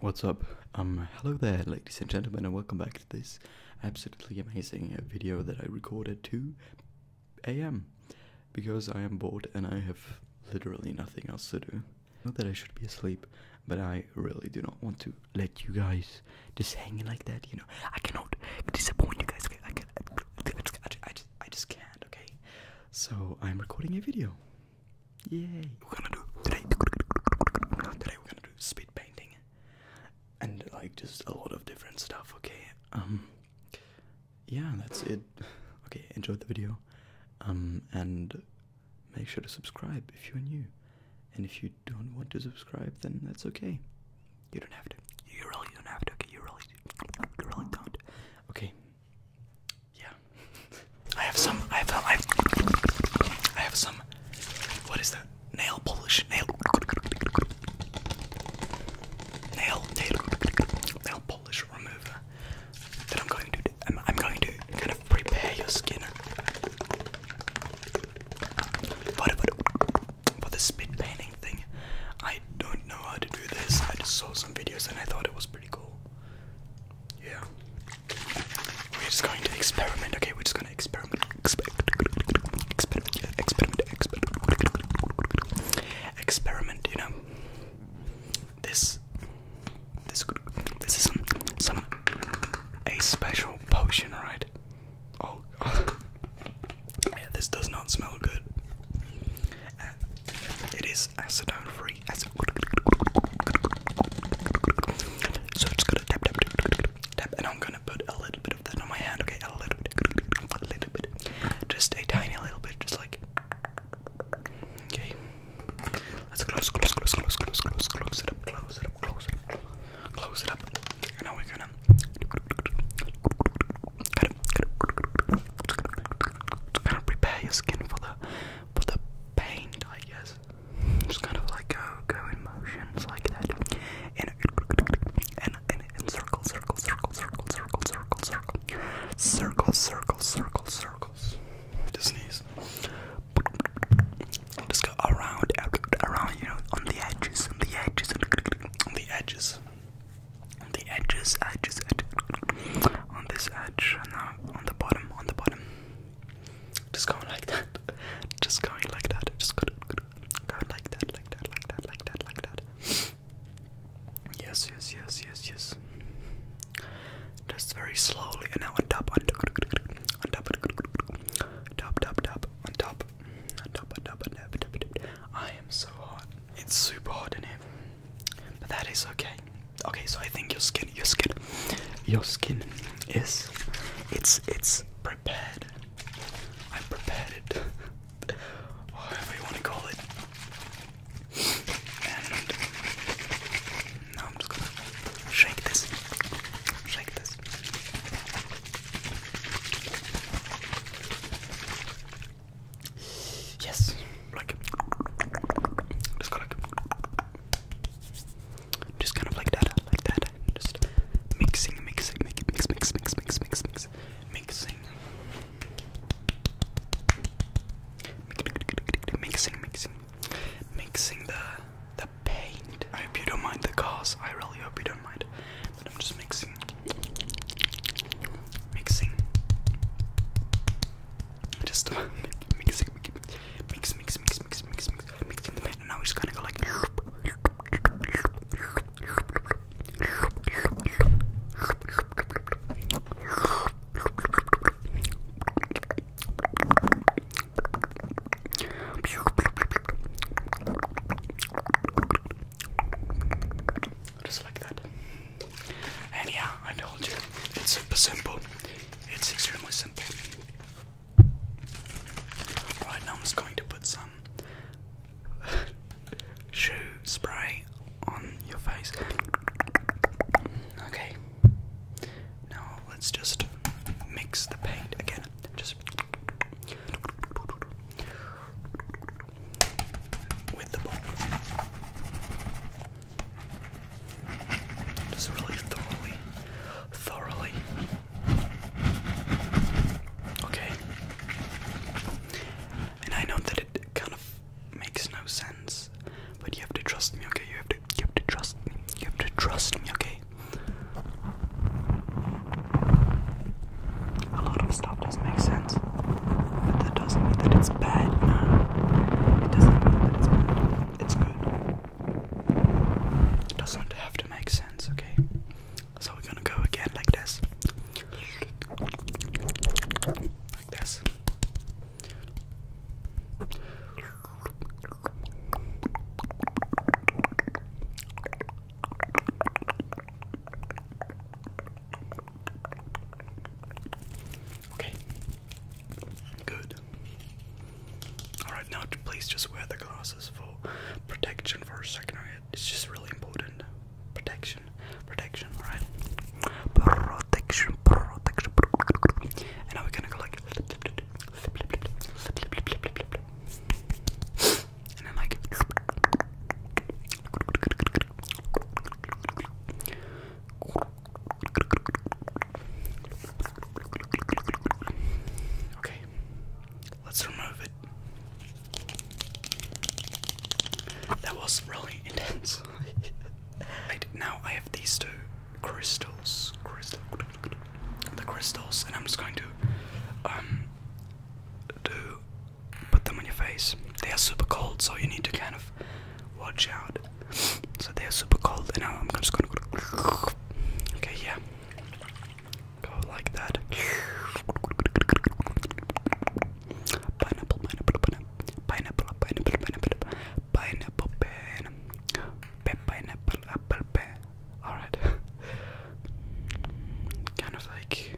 What's up? Um, hello there ladies and gentlemen and welcome back to this absolutely amazing uh, video that I recorded 2 a.m. Because I am bored and I have literally nothing else to do. Not that I should be asleep, but I really do not want to let you guys just hang like that, you know. I cannot disappoint you guys. I, can, I, just, I just can't, okay? So I'm recording a video. Yay! We're gonna do today. Today we're gonna do speed painting, and like just a lot of different stuff. Okay. Um. Yeah, that's it. Okay, enjoy the video. Um, and make sure to subscribe if you're new. And if you don't want to subscribe, then that's okay. You don't have to. You really don't have to. Okay, you really, you really don't. Okay, yeah. I have some. I have. I I have some. What is that? Nail polish. Nail. Nail. Nail. polish remover. That I'm going to. I'm, going to kind of prepare your skin for the spit painting thing. I don't know how to do this. I just saw some videos and I thought it was pretty cool. Yeah. We're just going to experiment, okay? We're just going to experiment, experiment, experiment, experiment, experiment, experiment you know? This, this, this is some, some, a special potion, right? Oh, yeah, this does not smell good. Uh, it is is free. Acid so I'm just gonna tap, tap, tap, tap, and I'm gonna put a little bit of that on my hand. Okay, a little bit, a little bit, just a tiny little bit, just like. Okay, let's close, close, close, close, close, close, close it up, close it up, close it up, close it up. And now we're gonna. Cut it, cut it. Just gonna prepare your skin for the but the paint, I guess, just kind of like go, go in motions like that, and and and, and circle, circle, circle, circle, circle, circle, circle, circle, circle, circles. Just sneeze. Just go around, around, you know, on the edges, on the edges, on the edges on the edges, edges, edges, on this edge, and now on the bottom, on the bottom. Just going like that. Just going like that. Just go, go, go like that, like that, like that, like that, like that. Yes, yes, yes, yes, yes. Just very slowly, and now on top, on top, on top, top, top, top, on top, on top, on top, on top. I am so hot. It's super hot in here but that is okay. Okay, so I think your skin, your skin, your skin is, it's, it's prepared. i prepared it, whatever you want to call it. now I'm just gonna shake this, shake this. Yes, just kind of like that, like that. Just mixing, mixing, mix, mix, mix, mix, mix, mix, mixing, mixing, mixing, mixing the the paint. I hope you don't mind the cause. I really hope you don't mind. I'm just mixing, mixing, just uh, mix, mix, mix, mix, mix, mix, mix, mix in the pan, and now we're just gonna go like. Just like that. And yeah, I told you, it's super simple. It's extremely simple. Right now, I'm just going to put some shoe spray on your face. Okay. Now let's just mix the paint again. Just with the bowl. Just really thoroughly, thoroughly. Okay. And I know that it kind of makes no sense, but you have to trust me, okay? You have to, you have to trust me. You have to trust me, okay? a lot of stuff does not make sense, but that doesn't mean that it's bad. No, it doesn't mean that it's bad. It's good. It doesn't have to make sense, okay? So we're gonna go again like this, like this. Okay. Good. Alright, now please just wear the glasses for protection for a It's just really important. Protection. Protection, alright? Protection, protection, protection. And now we're gonna go like and then like Okay, let's remove it. That was really intense. right, now I have these two crystals, the crystals, and I'm just going to um do put them on your face. They are super cold, so you need to kind of watch out. So they are super cold, and now I'm just gonna go. Okay, yeah. Go like that. Pineapple, pineapple, pineapple, pineapple, pineapple, pineapple, pineapple, pineapple, pineapple, apple, All right kind of like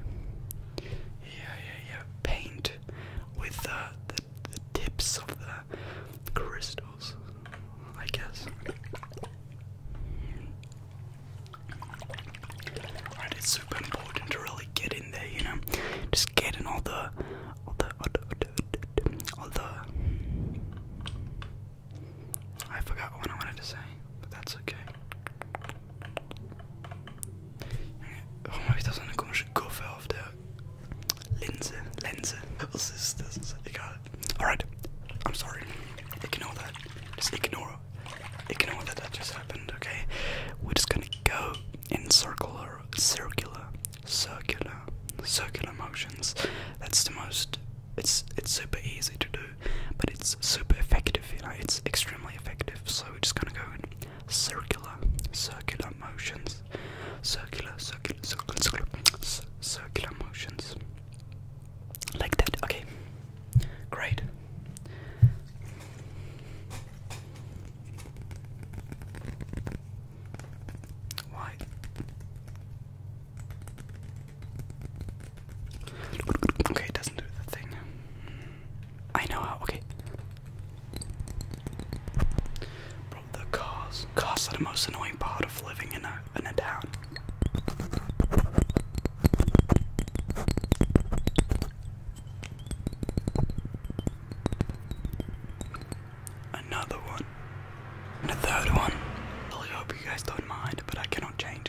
yeah yeah yeah paint with the, the, tips of the crystals I guess right it's super important to really get in there you know just getting all the all the, all the, all the I forgot what I wanted to say but that's okay Hon hittade kanske cover av the Lindsay. Lindsay. What's this? This is it. Alright. I'm sorry. Ignore that. Just ignore ignore that that just happened, okay? We're just gonna go in circular circular circular circular motions. That's the most it's it's super easy to do but it's super effective, you know, it's extremely effective. So we're just gonna go in circular, circular motions, circular, circular, circular, circular, circular motions. Like that, okay. Great. Why? Okay, doesn't do the thing. I know how, okay. Bro, the cars. Cars are the most annoying part of living in a, in a town. Another one. And third one. I really hope you guys don't mind, but I cannot change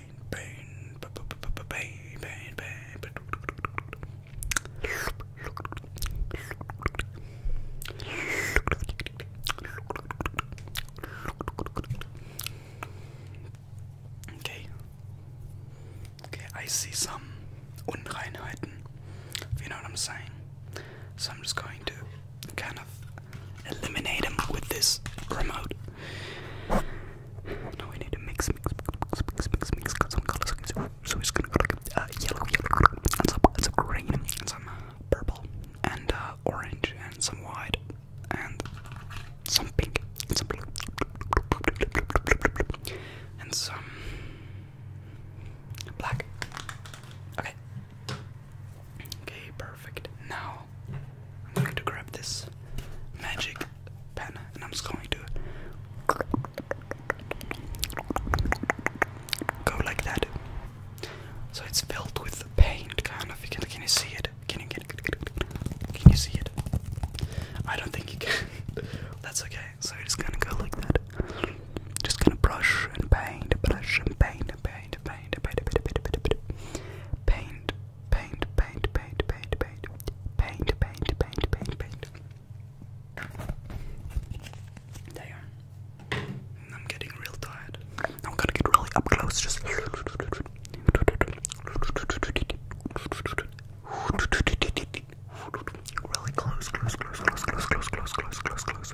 Okay. Okay, I see some unreinheiten. You know what I'm saying? So I'm just going to kind of eliminate him with this remote. Now we need to mix, mix, mix, mix, mix, mix, got some colors. So it's gonna go like uh, yellow, yellow, and some, and some green, and some uh, purple, and uh, orange, and some white, and some pink, and some blue, and some black. Okay. Okay, perfect. Now I'm going to grab this magic pen and I'm just going to go like that. So it's filled with paint, kind of. Can, can you see it? Can you, can, can you see it? I don't think you can. That's okay. So it's gonna go like that. Just gonna brush and paint, brush and paint, paint, paint paint, paint, paint, paint, paint, paint, paint, paint, paint, paint, paint, paint, paint, paint. There. I'm getting real tired. I'm gonna get really up close, just. Really close, close, close, close, close, close, close, close, close, close, close,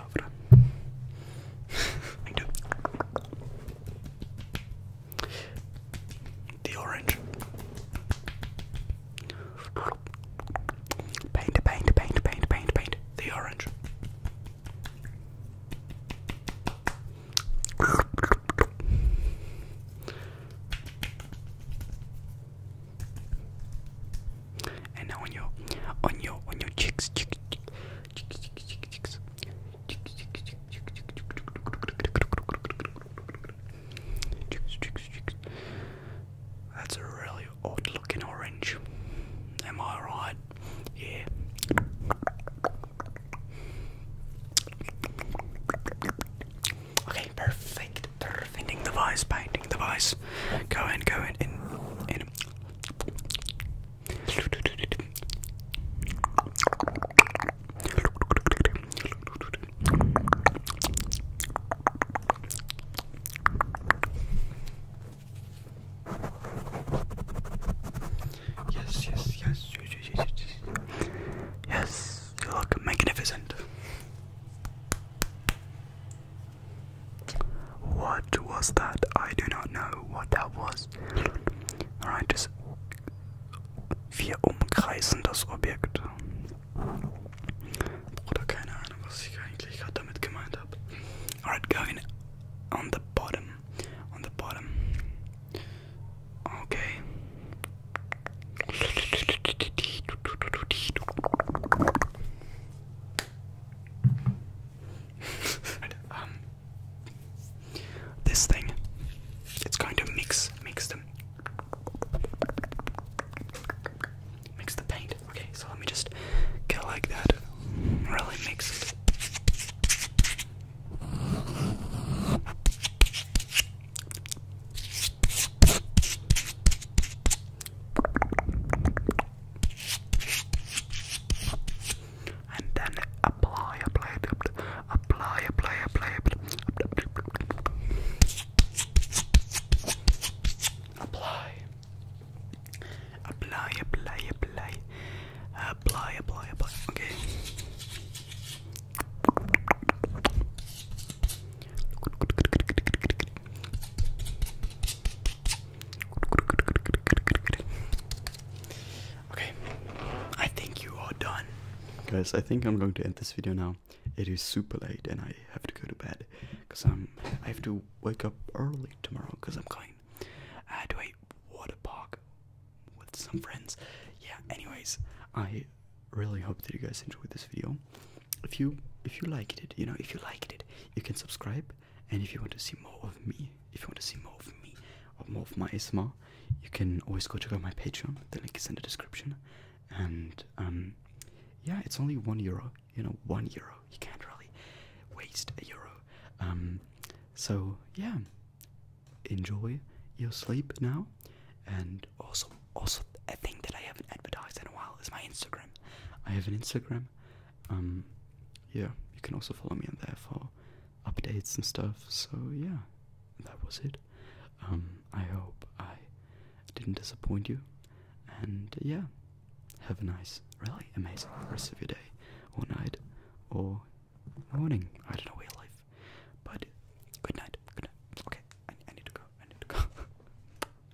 the orange. Paint, paint, paint, paint, paint, paint. The orange. And now on your, on your, on your cheeks, cheeks. That's a really odd looking orange. Am I right? Yeah. Okay, perfect. Perfecting the painting the Go in, go in, in. Yes, yes, yes, yes, yes, yes, yes. Yes, you look magnificent. What was that? I do not know what that was. Alright, das wir umkreisen das Objekt. Oder keine Ahnung, was ich eigentlich gerade damit gemeint habe. Alright, going on the bottom. On the bottom. Okay. Um, this thing, it's going to mix, mix them, mix the paint. Okay, so let me just get like that. Really mix and then apply, apply, apply, apply, apply, apply, apply, apply, apply, apply, apply, apply, okay. Okay, I think you are done. Guys, I think I'm going to end this video now. It is super late and I have to go to bed because I'm um, I have to wake up early tomorrow because I'm going uh, to a water park with some friends. Yeah. Anyways, I really hope that you guys enjoyed this video. If you if you liked it, you know, if you liked it, you can subscribe and if you want to see more of me, if you want to see more of me or more of my ASMR, you can always go check out my Patreon. The link is in the description. And um, yeah, it's only one euro. You know, one euro. You can't really waste a euro. Um, so yeah, enjoy your sleep now. And also, also a thing that I haven't advertised in a while is my Instagram. I have an Instagram. Um, yeah, you can also follow me on there for updates and stuff. So yeah, that was it. Um, I hope I didn't disappoint you. And yeah, have a nice, really amazing rest of your day, or night, or morning. I don't know your life, but good night. Good night. Okay, I need to go. I need to go.